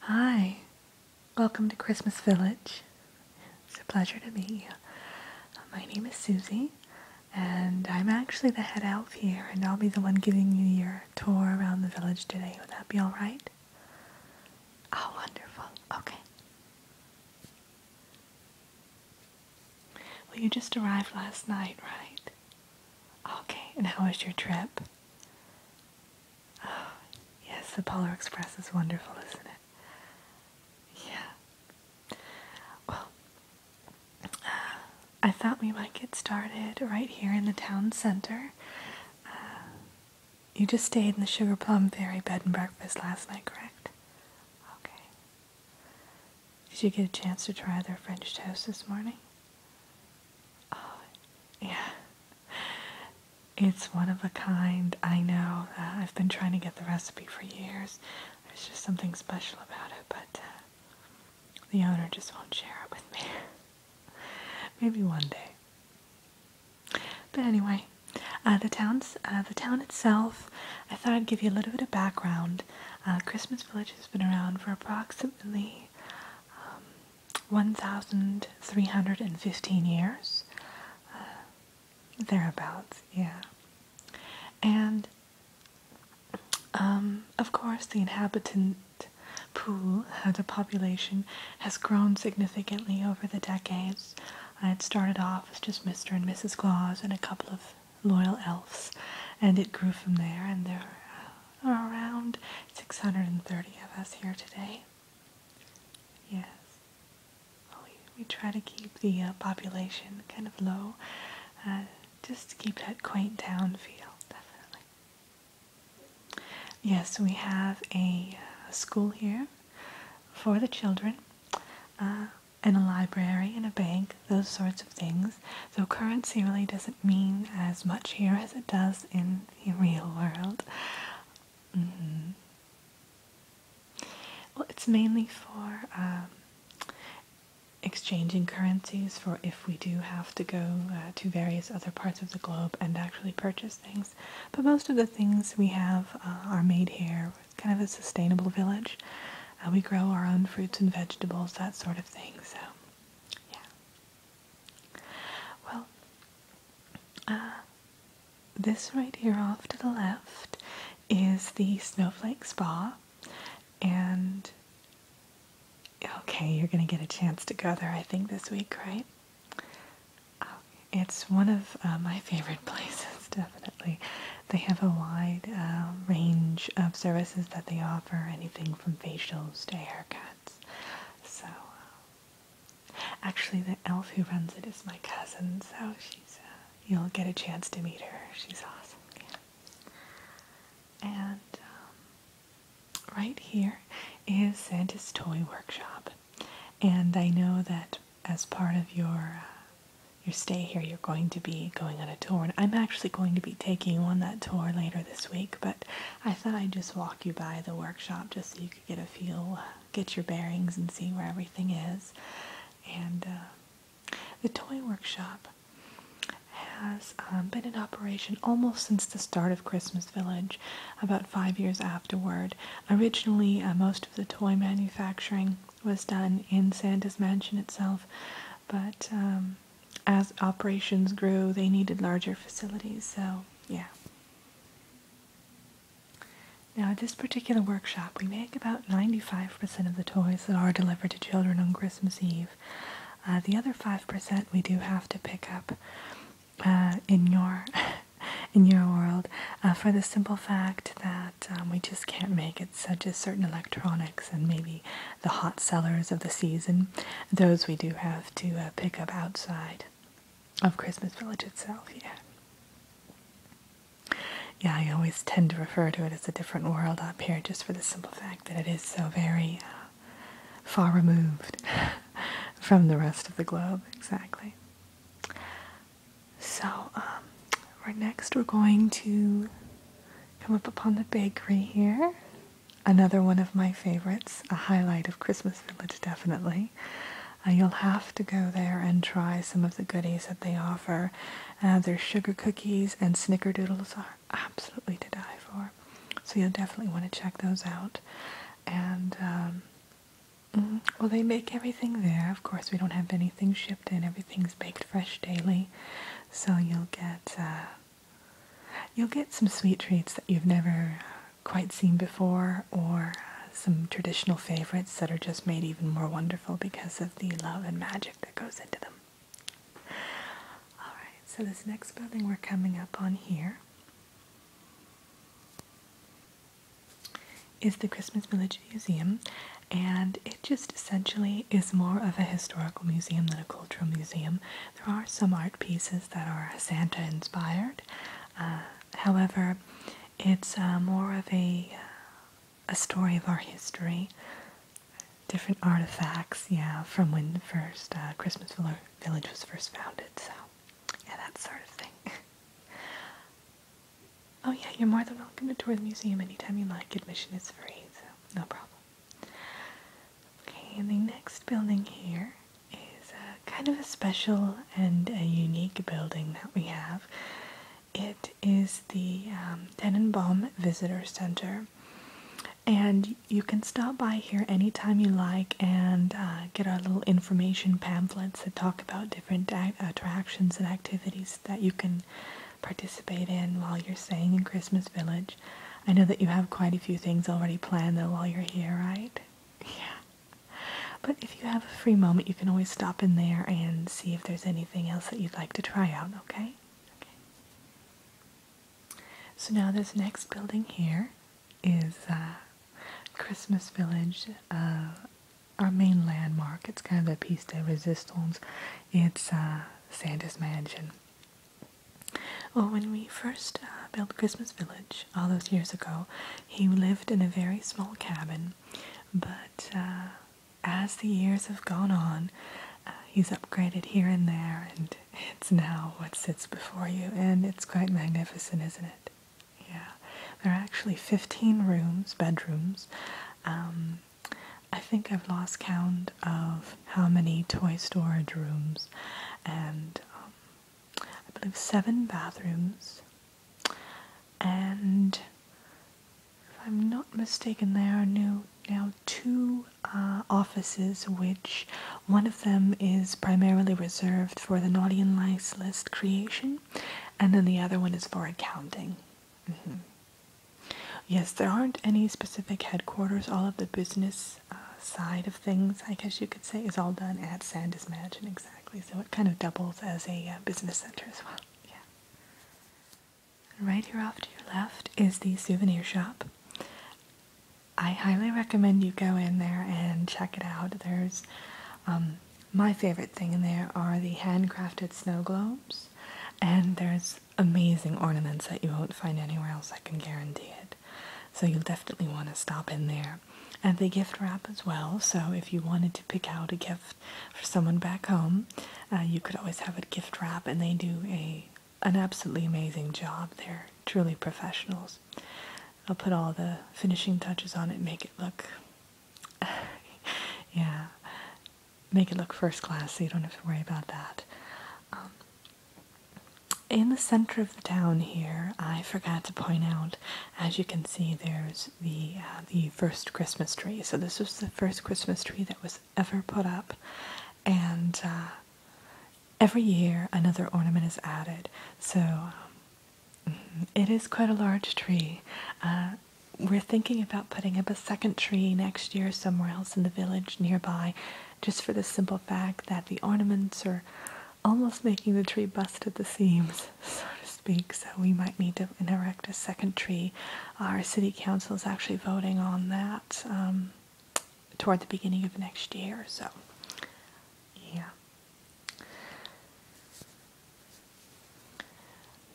Hi, welcome to Christmas Village. It's a pleasure to meet you. Uh, my name is Susie, and I'm actually the head elf here, and I'll be the one giving you your tour around the village today. Would that be alright? Oh, wonderful. Okay. Well, you just arrived last night, right? Okay, and how was your trip? Oh, yes, the Polar Express is wonderful, isn't it? Yeah. Well, uh, I thought we might get started right here in the town center. Uh, you just stayed in the Sugar Plum Fairy Bed and Breakfast last night, correct? Okay. Did you get a chance to try their French toast this morning? Oh, yeah. It's one of a kind. I know. Uh, I've been trying to get the recipe for years. There's just something special about it, but uh, the owner just won't share it with me. Maybe one day. But anyway, uh, the towns, uh, the town itself. I thought I'd give you a little bit of background. Uh, Christmas Village has been around for approximately um, 1,315 years, thereabouts. Yeah, and um, of course the inhabitant pool, uh, the population, has grown significantly over the decades. I had started off as just Mr. and Mrs. Claus and a couple of loyal elves, and it grew from there, and there are around 630 of us here today. Yes. we, try to keep the uh, population kind of low, uh, just to keep that quaint town feel, definitely. Yes, we have a, uh, school here for the children and a library and a bank, those sorts of things. So currency really doesn't mean as much here as it does in the real world. Mm-hmm. Well, it's mainly for um, exchanging currencies for if we do have to go uh, to various other parts of the globe and actually purchase things. But most of the things we have uh, are made here kind of a sustainable village. Uh, we grow our own fruits and vegetables, that sort of thing. So, yeah. Well, uh, this right here off to the left is the Snowflake Spa, and okay, you're gonna get a chance to go there, I think, this week, right? It's one of uh, my favorite places, definitely. They have a wide um, range of services that they offer, anything from facials to haircuts. So, um, actually, the elf who runs it is my cousin, so she's uh, you'll get a chance to meet her. She's awesome. And um, right here is Santa's Toy Workshop, and I know that as part of your uh, your stay here, you're going to be going on a tour, and I'm actually going to be taking you on that tour later this week. But I thought I'd just walk you by the workshop just so you could get a feel, uh, get your bearings, and see where everything is. And uh, the toy workshop has um, been in operation almost since the start of Christmas Village, about five years afterward. Originally, most of the toy manufacturing was done in Santa's mansion itself, but um, as operations grew, they needed larger facilities, so yeah. Now, at this particular workshop, we make about 95% of the toys that are delivered to children on Christmas Eve. Uh, the other 5% we do have to pick up uh, in your in your world uh, for the simple fact that um, we just can't make it, such as certain electronics and maybe the hot sellers of the season. Those we do have to uh, pick up outside of Christmas Village itself, yeah. Yeah, I always tend to refer to it as a different world up here just for the simple fact that it is so very uh, far removed from the rest of the globe, exactly. So, um, right next we're going to come up upon the bakery here. Another one of my favorites, a highlight of Christmas Village definitely. Uh, you'll have to go there and try some of the goodies that they offer. Uh, their sugar cookies and snickerdoodles are absolutely to die for. So you'll definitely want to check those out. And um, Mm, well, they make everything there. Of course, we don't have anything shipped in. Everything's baked fresh daily, so you'll get uh, you'll get some sweet treats that you've never quite seen before, or some traditional favorites that are just made even more wonderful because of the love and magic that goes into them. All right. So this next building we're coming up on here is the Christmas Village Museum, and it just essentially is more of a historical museum than a cultural museum. There are some art pieces that are Santa inspired, uh, however, it's uh, more of a uh, a story of our history, different artifacts, yeah, from when the first Christmas Village was first founded. So, yeah, that sort of thing. Oh yeah, you're more than welcome to tour the museum anytime you like. Admission is free, so no problem. Okay, and the next building here is uh, kind of a special and a unique building that we have. It is the um, Tenenbaum Visitor Center, and you can stop by here anytime you like and uh, get our little information pamphlets that talk about different attractions and activities that you can participate in while you're staying in Christmas Village. I know that you have quite a few things already planned though while you're here, right? Yeah. But if you have a free moment, you can always stop in there and see if there's anything else that you'd like to try out, okay? Okay. So now this next building here is uh, Christmas Village uh, our main landmark. It's kind of the piece de resistance. It's uh, Santa's Mansion. Well, when we first uh, built Christmas Village all those years ago, he lived in a very small cabin. But uh, as the years have gone on, uh, he's upgraded here and there, and it's now what sits before you, and it's quite magnificent, isn't it? Yeah, there are actually 15 rooms, bedrooms. Um, I think I've lost count of how many toy storage rooms, and um, I believe seven bathrooms. And if I'm not mistaken, there are now two uh, offices, which one of them is primarily reserved for the naughty and nice list creation, and then the other one is for accounting. Mm-hmm. Yes, there aren't any specific headquarters. All of the business uh, side of things, I guess you could say, is all done at Sandus Mansion exactly. So it kind of doubles as a uh, business center as well. Yeah. Right here off to your left is the souvenir shop. I highly recommend you go in there and check it out. There's um, my favorite thing in there are the handcrafted snow globes, and there's amazing ornaments that you won't find anywhere else, I can guarantee it. So you'll definitely want to stop in there. And they gift wrap as well, so if you wanted to pick out a gift for someone back home, uh, you could always have a gift wrap, and they do a an absolutely amazing job. They're truly professionals. I'll put all the finishing touches on it and make it look, yeah, make it look first class so you don't have to worry about that. Um, in the center of the town here, I forgot to point out, as you can see, there's the uh, the first Christmas tree. So this was the first Christmas tree that was ever put up, and uh, every year another ornament is added. So um, it is quite a large tree. Uh, we're thinking about putting up a second tree next year somewhere else in the village nearby, just for the simple fact that the ornaments are almost making the tree bust at the seams, so to speak. So we might need to erect a second tree. Our city council is actually voting on that um, toward the beginning of next year. So, yeah.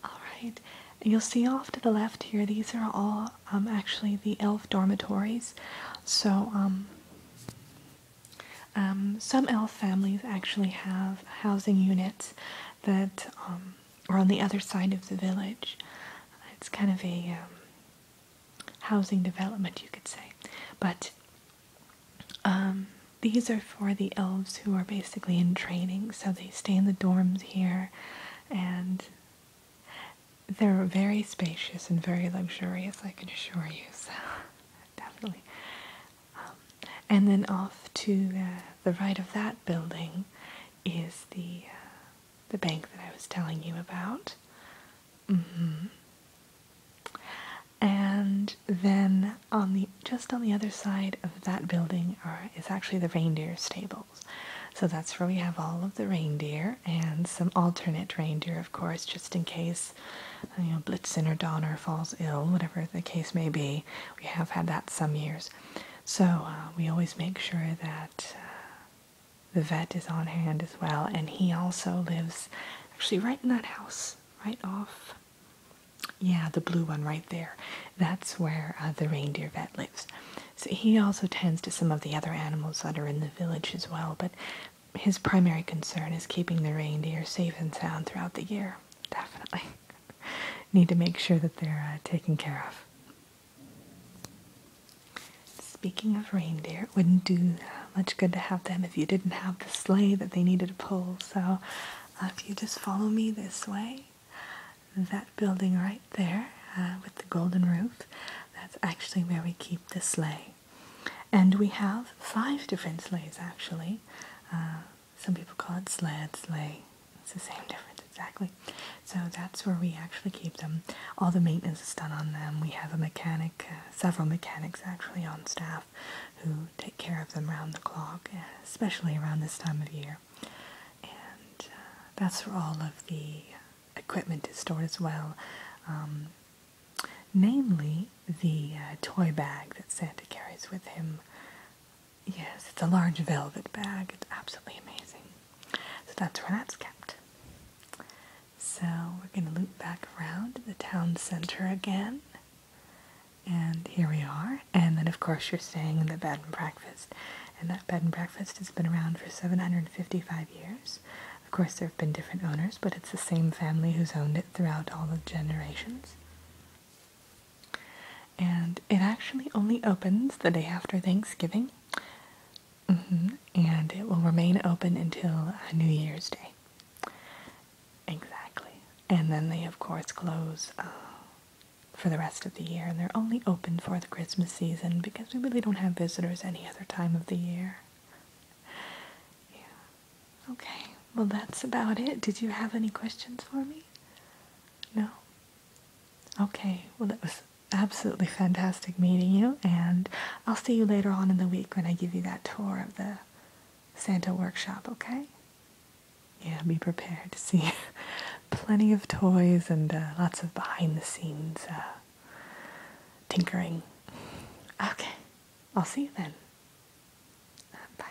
Alright, you'll see off to the left here, these are all um, actually the elf dormitories. So, um, um, some elf families actually have housing units that are on the other side of the village. It's kind of a housing development, you could say. But um, these are for the elves who are basically in training, so they stay in the dorms here and they're very spacious and very luxurious, I can assure you, so definitely. Um, and then off to the, right of that building is the, uh, the bank that I was telling you about. Mm-hmm. And then on the just on the other side of that building is actually the reindeer stables. So that's where we have all of the reindeer and some alternate reindeer, of course, just in case you know Blitzen or Donner falls ill, whatever the case may be. We have had that some years, so uh, we always make sure that. Uh, the vet is on hand as well, and he also lives actually right in that house, right off. Yeah, the blue one right there. That's where uh, the reindeer vet lives. So he also tends to some of the other animals that are in the village as well, but his primary concern is keeping the reindeer safe and sound throughout the year. Definitely. Need to make sure that they're uh, taken care of. Speaking of reindeer, wouldn't do uh, much good to have them if you didn't have the sleigh that they needed to pull. So uh, if you just follow me this way, that building right there uh, with the golden roof, that's actually where we keep the sleigh. And we have five different sleighs actually. Uh, some people call it sled, sleigh. It's the same difference exactly. So that's where we actually keep them. All the maintenance is done on them. We have a mechanic several mechanics actually on staff who take care of them round the clock, especially around this time of year. And uh, that's where all of the equipment is stored as well, um, namely the uh, toy bag that Santa carries with him. Yes, it's a large velvet bag. It's absolutely amazing. So that's where that's kept. So we're going to loop back around to the town center again. And here we are. And then, of course, you're staying in the bed and breakfast. And that bed and breakfast has been around for 755 years. Of course, there have been different owners, but it's the same family who's owned it throughout all the generations. And it actually only opens the day after Thanksgiving. Mm-hmm. And it will remain open until New Year's Day. Exactly. And then they, of course, close uh, for the rest of the year. And they're only open for the Christmas season because we really don't have visitors any other time of the year. Yeah. Okay. Well, that's about it. Did you have any questions for me? No? Okay. Well, that was absolutely fantastic meeting you, and I'll see you later on in the week when I give you that tour of the Santa workshop, okay? Yeah, be prepared to see plenty of toys and uh, lots of behind the scenes uh, tinkering. Okay, I'll see you then. bye.